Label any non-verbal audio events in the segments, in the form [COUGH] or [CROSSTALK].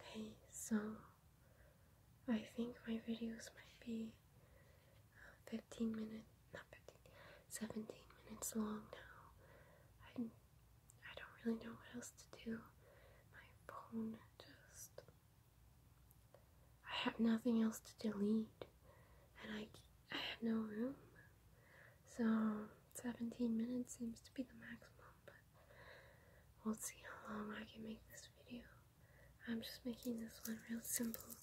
Okay, so I think my videos might be uh, 15 minutes, not 15, 17 minutes long now. I, I don't really know what else to do. My phone just. I have nothing else to delete, and I, I have no room. So 17 minutes seems to be the maximum, but We'll see how long I can make this video. I'm just making this one real simple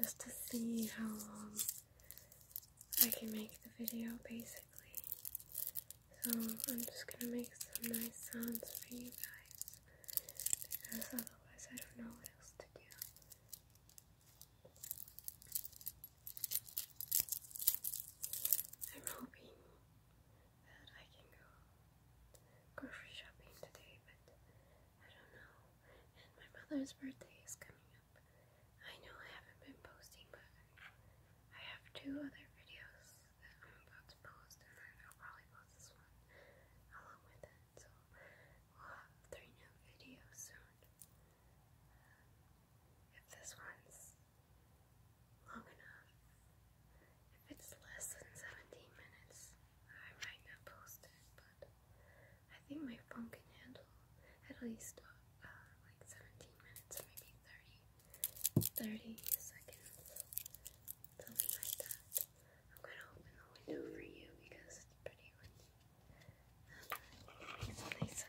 just to see how long I can make the video basically. So I'm just gonna make some nice sounds for you guys because otherwise I don't know what else to do. I'm hoping that I can go grocery shopping today, but I don't know. And my mother's birthday is coming up. I know I haven't been posting, but I have two other videos that I'm about to post, and I'll probably post this one along with it. So we'll have three new videos soon if this one's long enough. If it's less than 17 minutes, I might not post it, but I think my phone can handle at least uh, like 17 minutes, maybe 30, seconds, something like that. I'm gonna open the window for you because it's pretty windy. Um, nice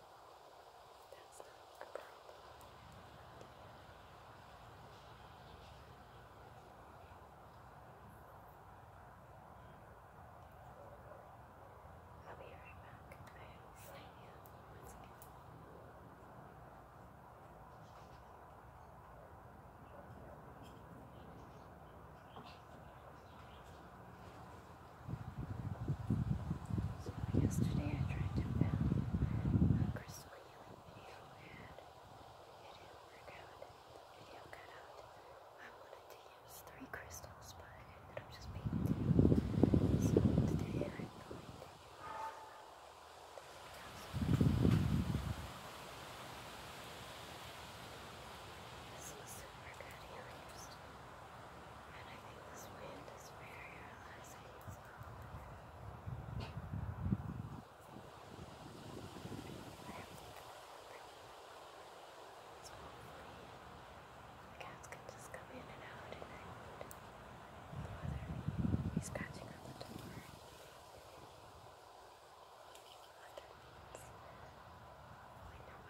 That's not a problem. I'll be right back. I have a sign you once again. Okay. So yesterday I tried to film a crystal video and it didn't work out. The video cut out. I wanted to use three crystals but ended up just being two. So today I'm going to use this is super good healers. And I think this wind is very relaxing. The cats can just come in and out at night. Whether he's scratching on the door, whether it's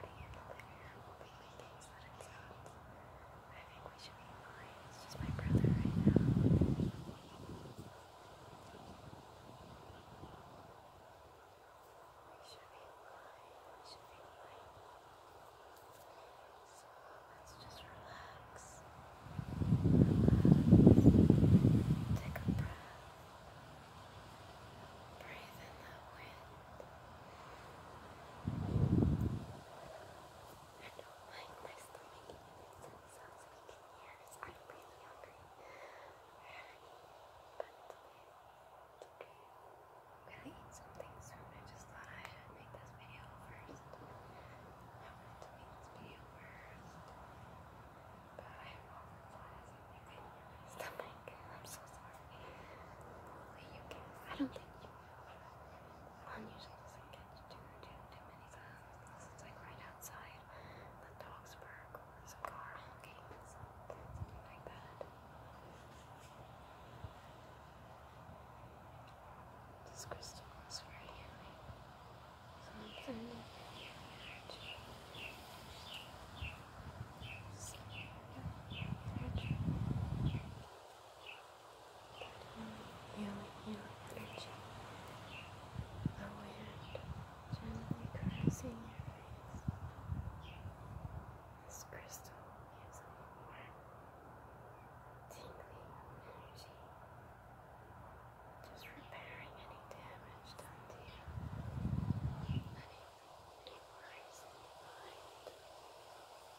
only nobody in the living room will be waking I think we should be fine. It's just my brother right now. We should be fine. We should be fine. So let's just relax. Relax. Take a breath. Breathe in that wind. I don't like my stomach it sounds like years. I'm really hungry. But okay. I'm gonna eat something soon. I just thought I should make this video first. I wanted to make this video first. But I have all the my stomach. I'm so sorry. Hopefully you can I don't think you unusual doesn't get to do it too many times unless it's like right outside the dog's park or there's a car honking, something like that. This crystal is very healing. Something energy. Energy healing, healing energy. The wind gently caressing This crystal gives a tingling energy. Just repairing any damage done to you. Any, any worries in your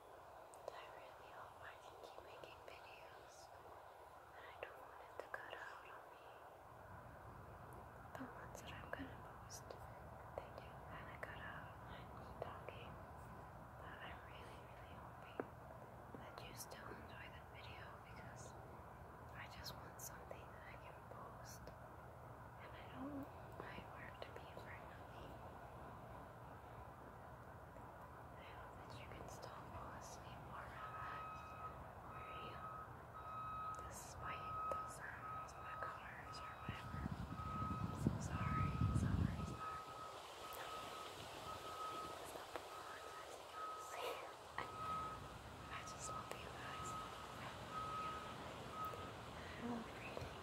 I really hope I can keep making videos and I don't want it to cut out on me. The ones that I'm gonna post, they do kinda cut out on me talking. But I'm really, really hoping that you still enjoy the video because I just want something that I can post. And I don't want my work to be for nothing. I I hope that you can still fall asleep more relaxed, or despite the sounds, the colors, or whatever. I'm so sorry, sorry, sorry. I just love you guys. I love reading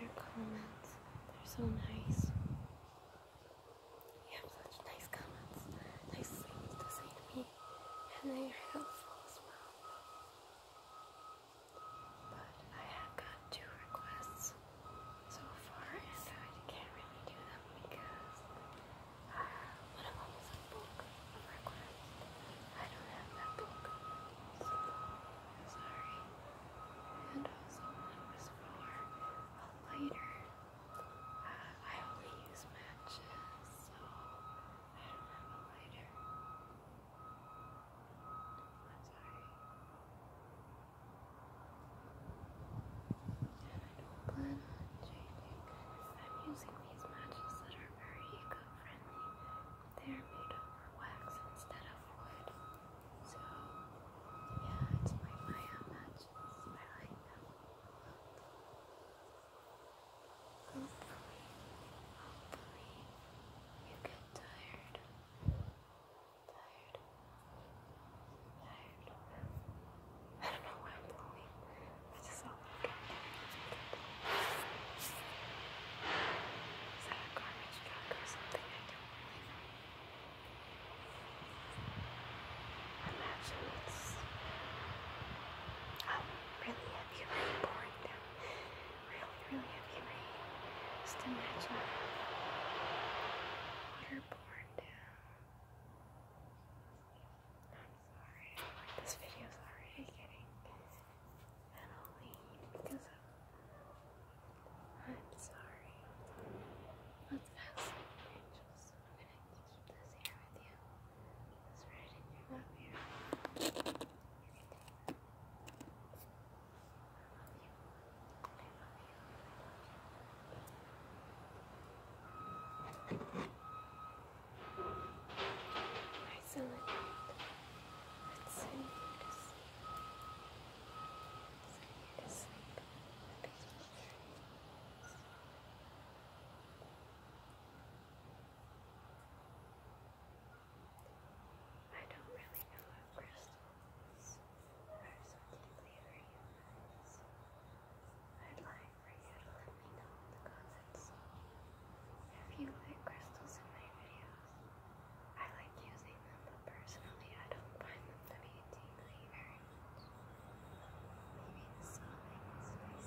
your comments. They're so nice. You have such nice comments, nice things to say to me, and they are helpful as well. But I have got two requests so far, and I can't really do them because uh, one of them is of requests. I don't have that book, so sorry and also one was for a lighter. Uh, I only use matches, so I don't have a lighter. I'm sorry. And I don't plan on changing. I'm using these matches that are very eco-friendly. They're made over wax instead of wood. So, yeah, it's my Maya matches where I am. Hopefully, hopefully, you get tired. Tired. Tired. I don't know why I'm blowing. I just saw that Is that a garbage truck or something? Imagine it's um, really heavy rain pouring down. Really, really heavy Just imagine water pouring down. I'm sorry, like this video's already getting and because I'm sorry. Let's have keep this here with you. It's right in your lap I love you. I love you. Sleep I don't really know what crystals are specifically for humans. I'd like for you to let me know the comments if you like crystals in my videos. I like using them, but personally I don't find them to be tingly very much. Maybe the smelling is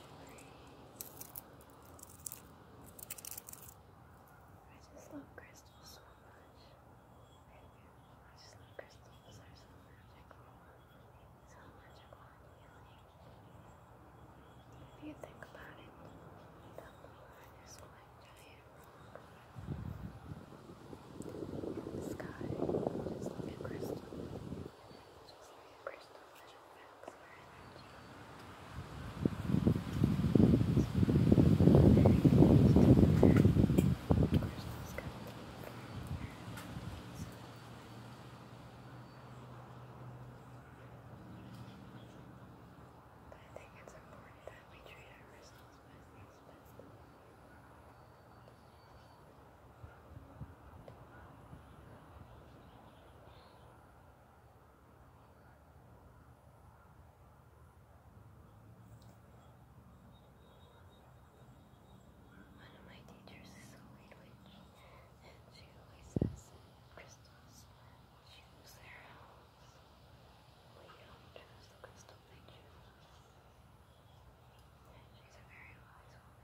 I just love crystals so much. I just love crystals. They're so magical. So magical If you think about it, the moon giant In the sky, just like a crystal. But I think it's important that we treat our crystals as these one of my teachers is a weed witch, she always has crystals. She moves their house. We don't choose the crystal they choose. she's a very wise woman.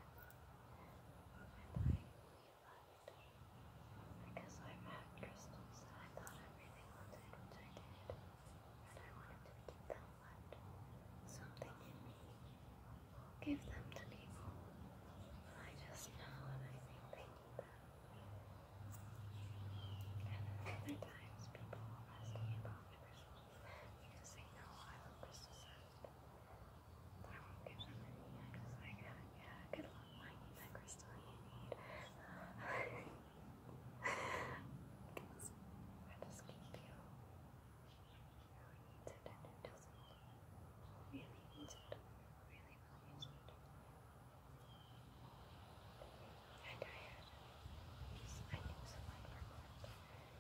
Because I'm at crystals I thought I really wanted, And I wanted to keep them, but something in me gave them to people. I just know and I think they need them. And then other times people ask me about crystals because they know I love crystals. I won't give them any. I'm just like, yeah, good luck finding that crystal you need. I just keep you. Really needs it, and it doesn't. Really needs it. Really, really needs it. I'm I knew someone for a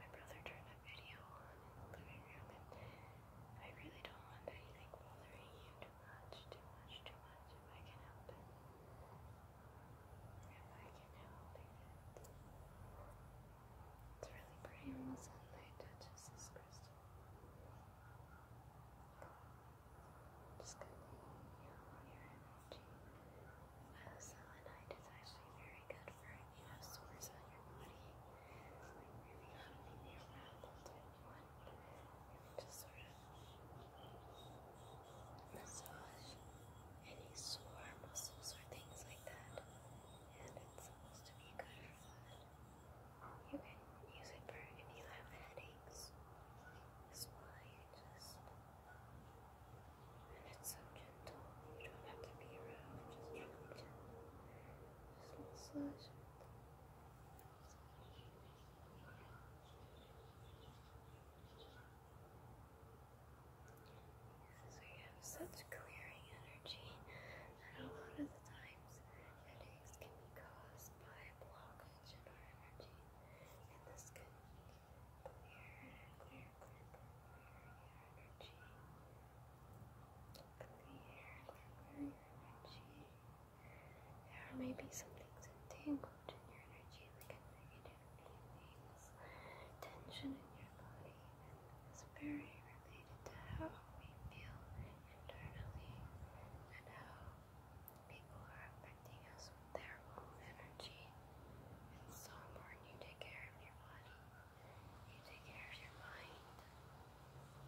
my brother turned a video on in the living room, I really don't want anything bothering you too much, too much, too much, if I can help it. If I can help it. It's really pretty when sunlight touches this crystal. Just gonna heal your energy. Uh, selenite is actually very good whenever you have sores your body, like if you have maybe a just sort of massage any sore muscles or things like that, and it's supposed to be good for that. You can use it for if you have headaches just and it's so gentle. You don't have to be rough, just massage. Because we have such clearing energy that a lot of the times headaches can be caused by blockage in our energy. And this can clear, clear, clear, clear energy. Look here, where your energy. There may be some things entangled in your energy, like a negative feelings, tension in your body, and it's very related to how we feel internally and how people are affecting us with their own energy. It's so important you take care of your body. You take care of your mind.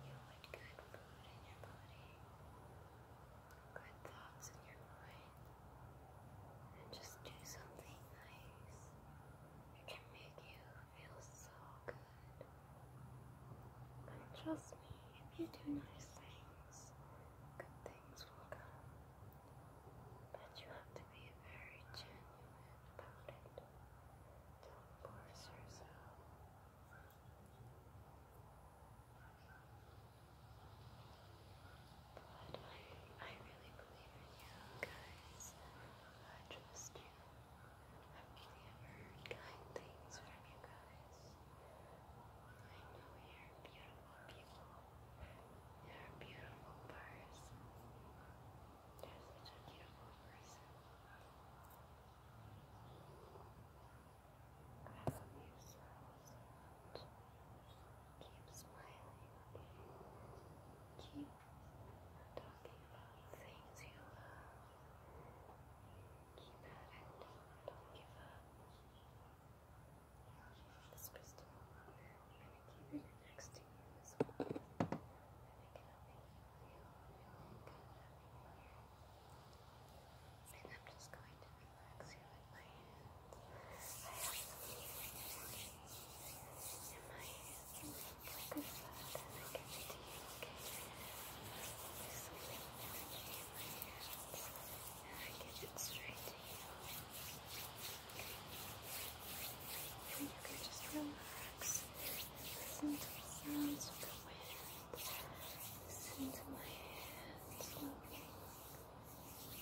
You want good food in your body, good thoughts in your mind, and just do something nice. It can make you feel so good. And trust me, if you do nice things, good things will come. But you have to be very genuine about it. Don't force yourself. But I, I really believe in you guys. I trust I've only ever heard kind things from you guys. I know you're beautiful people. You're beautiful person you a beautiful person. I love you so, Keep smiling. Keep talking about things you love. Keep at it. Don't give up. This crystal I'm going to keep it next to you I'm just going to relax you with my hands. I have some energy in my hands and I feel good and I give it to you, okay? There's some energy in my hands and I give it straight to you. And you can just relax relax. Listen to the sounds of the wind. Listen to my hands moving. Just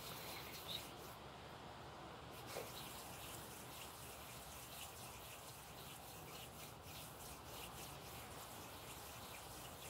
focusing my energy. Just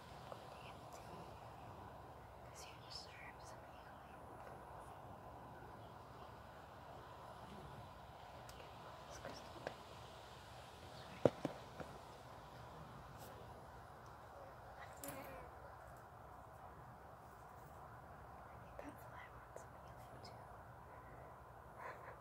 because you deserve some healing. This crystal pain is right. I think that's why I want some healing too. [LAUGHS]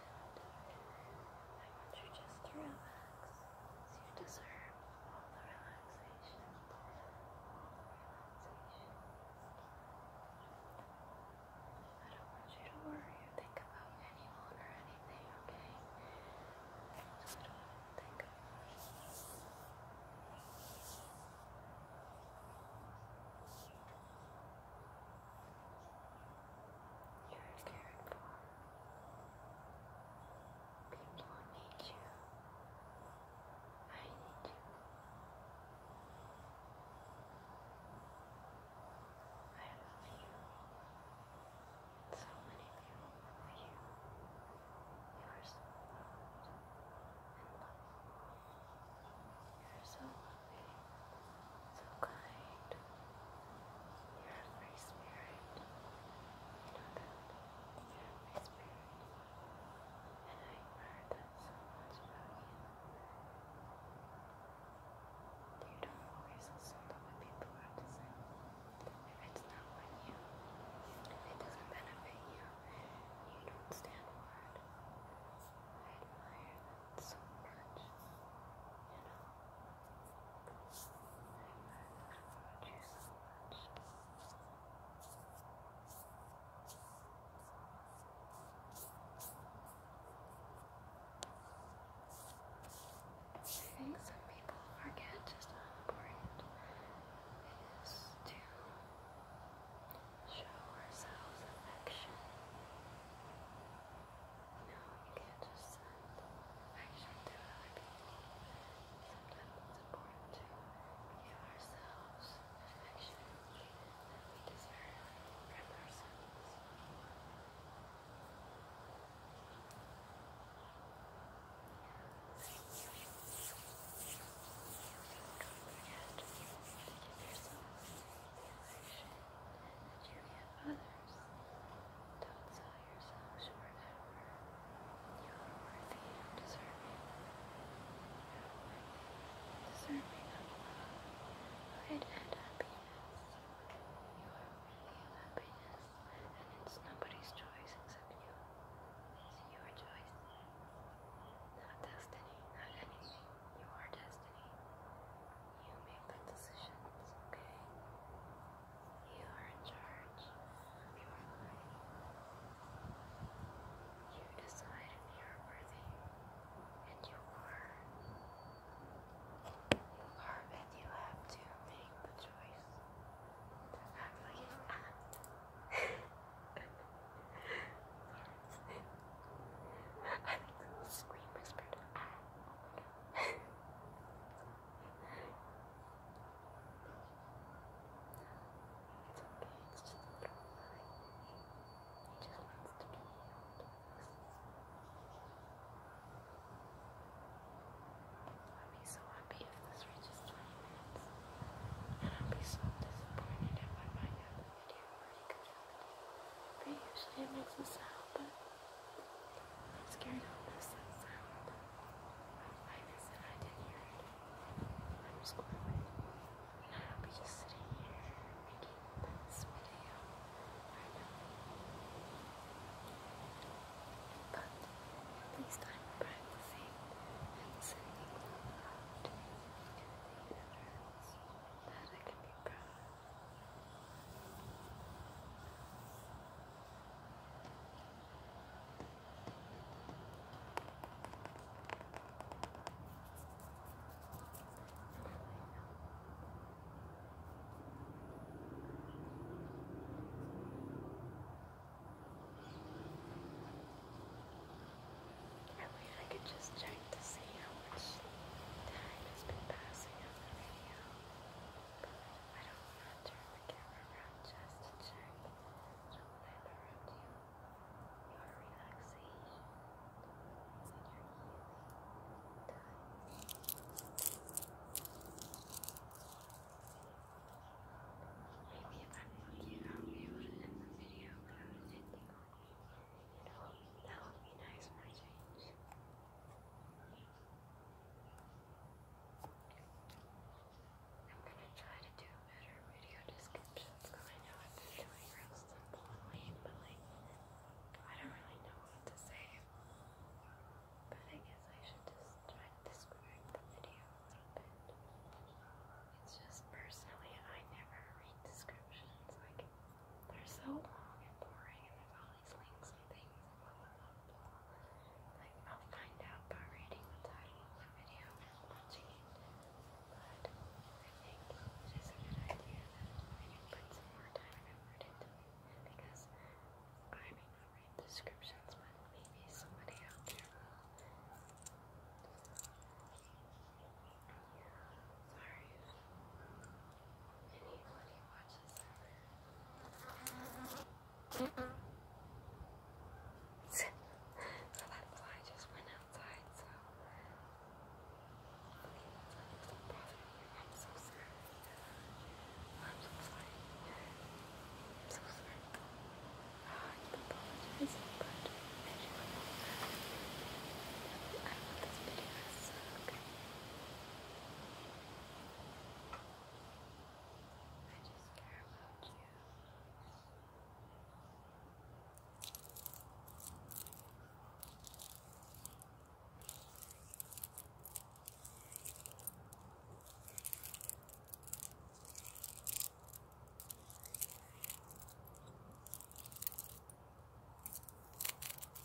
I want you just to relax. You deserve all the relaxation. All the relaxation. I don't want you to worry or think about anyone or anything, okay? Just don't think about it. Just relax. You're cared for. People need you. I need you. I love you. so many people love you. You are so loved and loved. You are so lovely so kind. You're a free spirit. You know that. You're a free spirit. And I admire that so much about you. You don't always listen to what people are to say. If it's not on you, it doesn't benefit you, you don't stand for it. I admire that so much, you know. I you so much. I think some people forget just how important it is to show ourselves affection. No, you can't just send. Actually, there other people. Sometimes it's important to give ourselves affection that we deserve from ourselves that you give others. Don't sell yourself short, You are worthy and deserving. deserving of love, light, and happiness. You are worthy of happiness, and it's nobody's choice except you. It's your choice, not destiny, not anything your destiny. You make the decisions, okay? You are in charge of your life. You decide you're worthy, and you are. You are, and you have to make the choice to act act. [LAUGHS] I think the screen whispered. Ah. it's okay, it's just a little furry. He just wants to be healed I'd be so happy if this reaches 20 minutes. And I'd be so disappointed if I might have but usually it makes a sound, but I'm scared I'll miss that sound. I missed it, I didn't I'm just going to be just sitting here making this video right now. But at least I'm practicing and sending love to the universe that I can be proud I wish I could just check like to see how much time has been passing on the video. I don't want to turn the camera around just to check. do you. Your relaxation and your healing Maybe if I'm looking out, i the video without it ending on You that would be nice for a change. I'm gonna try to do better video descriptions because I know I've doing real simple and lame, but like I don't really know what to say. But I guess I should just try to describe the video a little bit. It's just personally I never read descriptions. Like they're so long and boring and there's all these links and things and blah blah blah blah. Like I'll find out by reading the title of the video and watching it. But I think it is a good idea that I put some more time and effort into it because I may not read descriptions but maybe somebody out there will. Sorry Mm -mm. just went outside, so I'm so sorry. I'm so sorry. I'm so sorry. I apologize, but as you know, this video to suck. I just care about you. I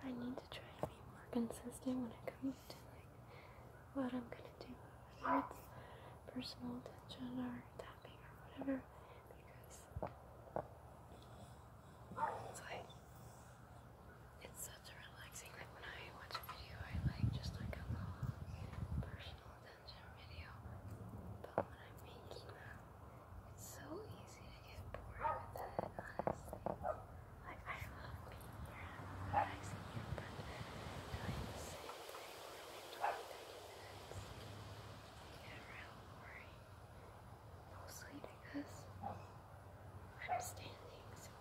I need to try to be more consistent when it comes to like what I'm gonna do whether it's personal attention or tapping or whatever, because it's like it's such a relaxing like when I watch a video I like just like a personal attention video. But when I'm making them, it's so easy to get bored with it, honestly. Like I love being here and relaxing here, but Get a real worry. Mostly because I'm standing, so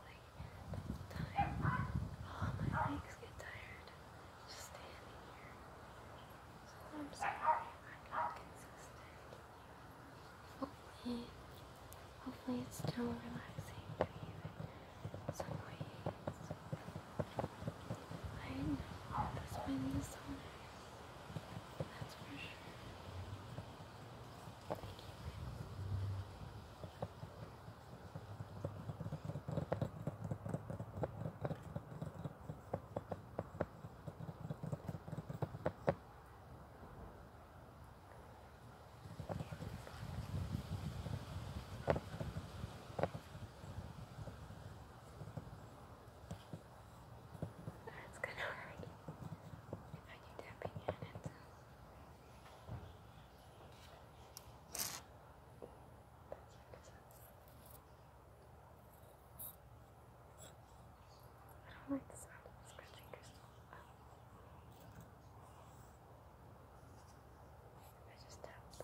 like my legs get tired just standing here. So I'm sorry I'm not consistent. Hopefully, hopefully it's still relaxing for you. I know this wind is on it. That's for sure. Thank you. That's gonna hurt I keep tapping in it. I don't like the sound of the scratching crystal. I just tapped.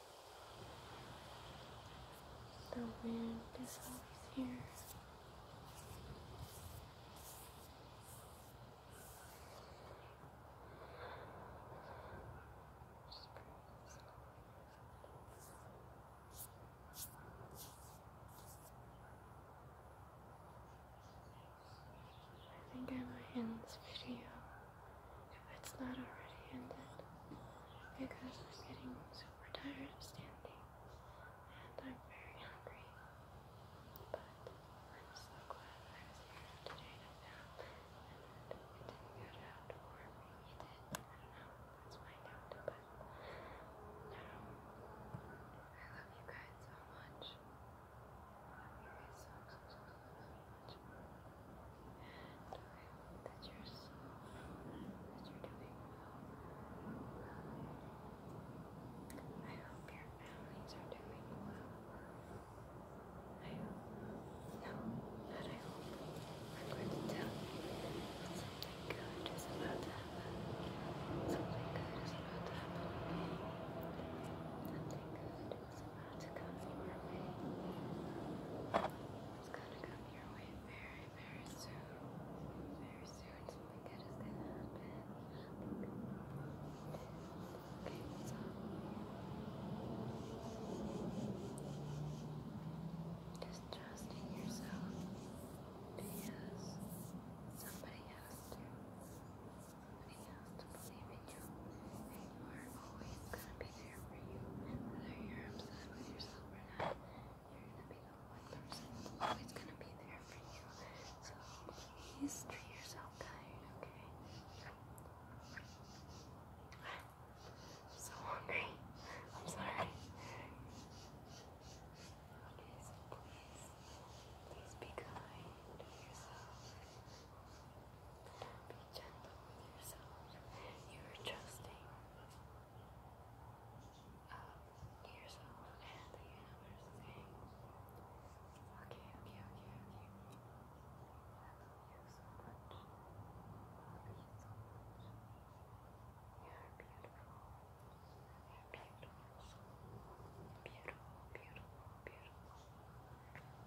The wind is always here. I think I might end this video if it's not already ended because I'm getting super tired of standing and I'm very hungry. But I'm so glad I was here today to film and it didn't get out or maybe it did. I don't know. Let's find out. But no. Um, I love you guys so much. you guys so, so, so, so, so much that you're so, that you're doing well. I hope your families are doing well. I hope, no, I hope. I'm going to tell you something good is about to happen. Something good is about to happen. Something good. It's about to come your way. It's gonna come your way very, very soon. Very soon. Something good is gonna happen. Okay, so just yourself because somebody has to. Somebody has to believe in you. And you are always gonna be is here for you. Whether you're upset with yourself or not, you're gonna be the one person who's always gonna be there for you. So please treat yourself kind, okay? I'm so hungry. I'm sorry. Okay, please, please be kind to yourself being gentle with yourself. You are trusting um, yourself and the universe saying, okay, okay, okay, okay. I you so much. You are beautiful. You're beautiful. Beautiful, beautiful, beautiful.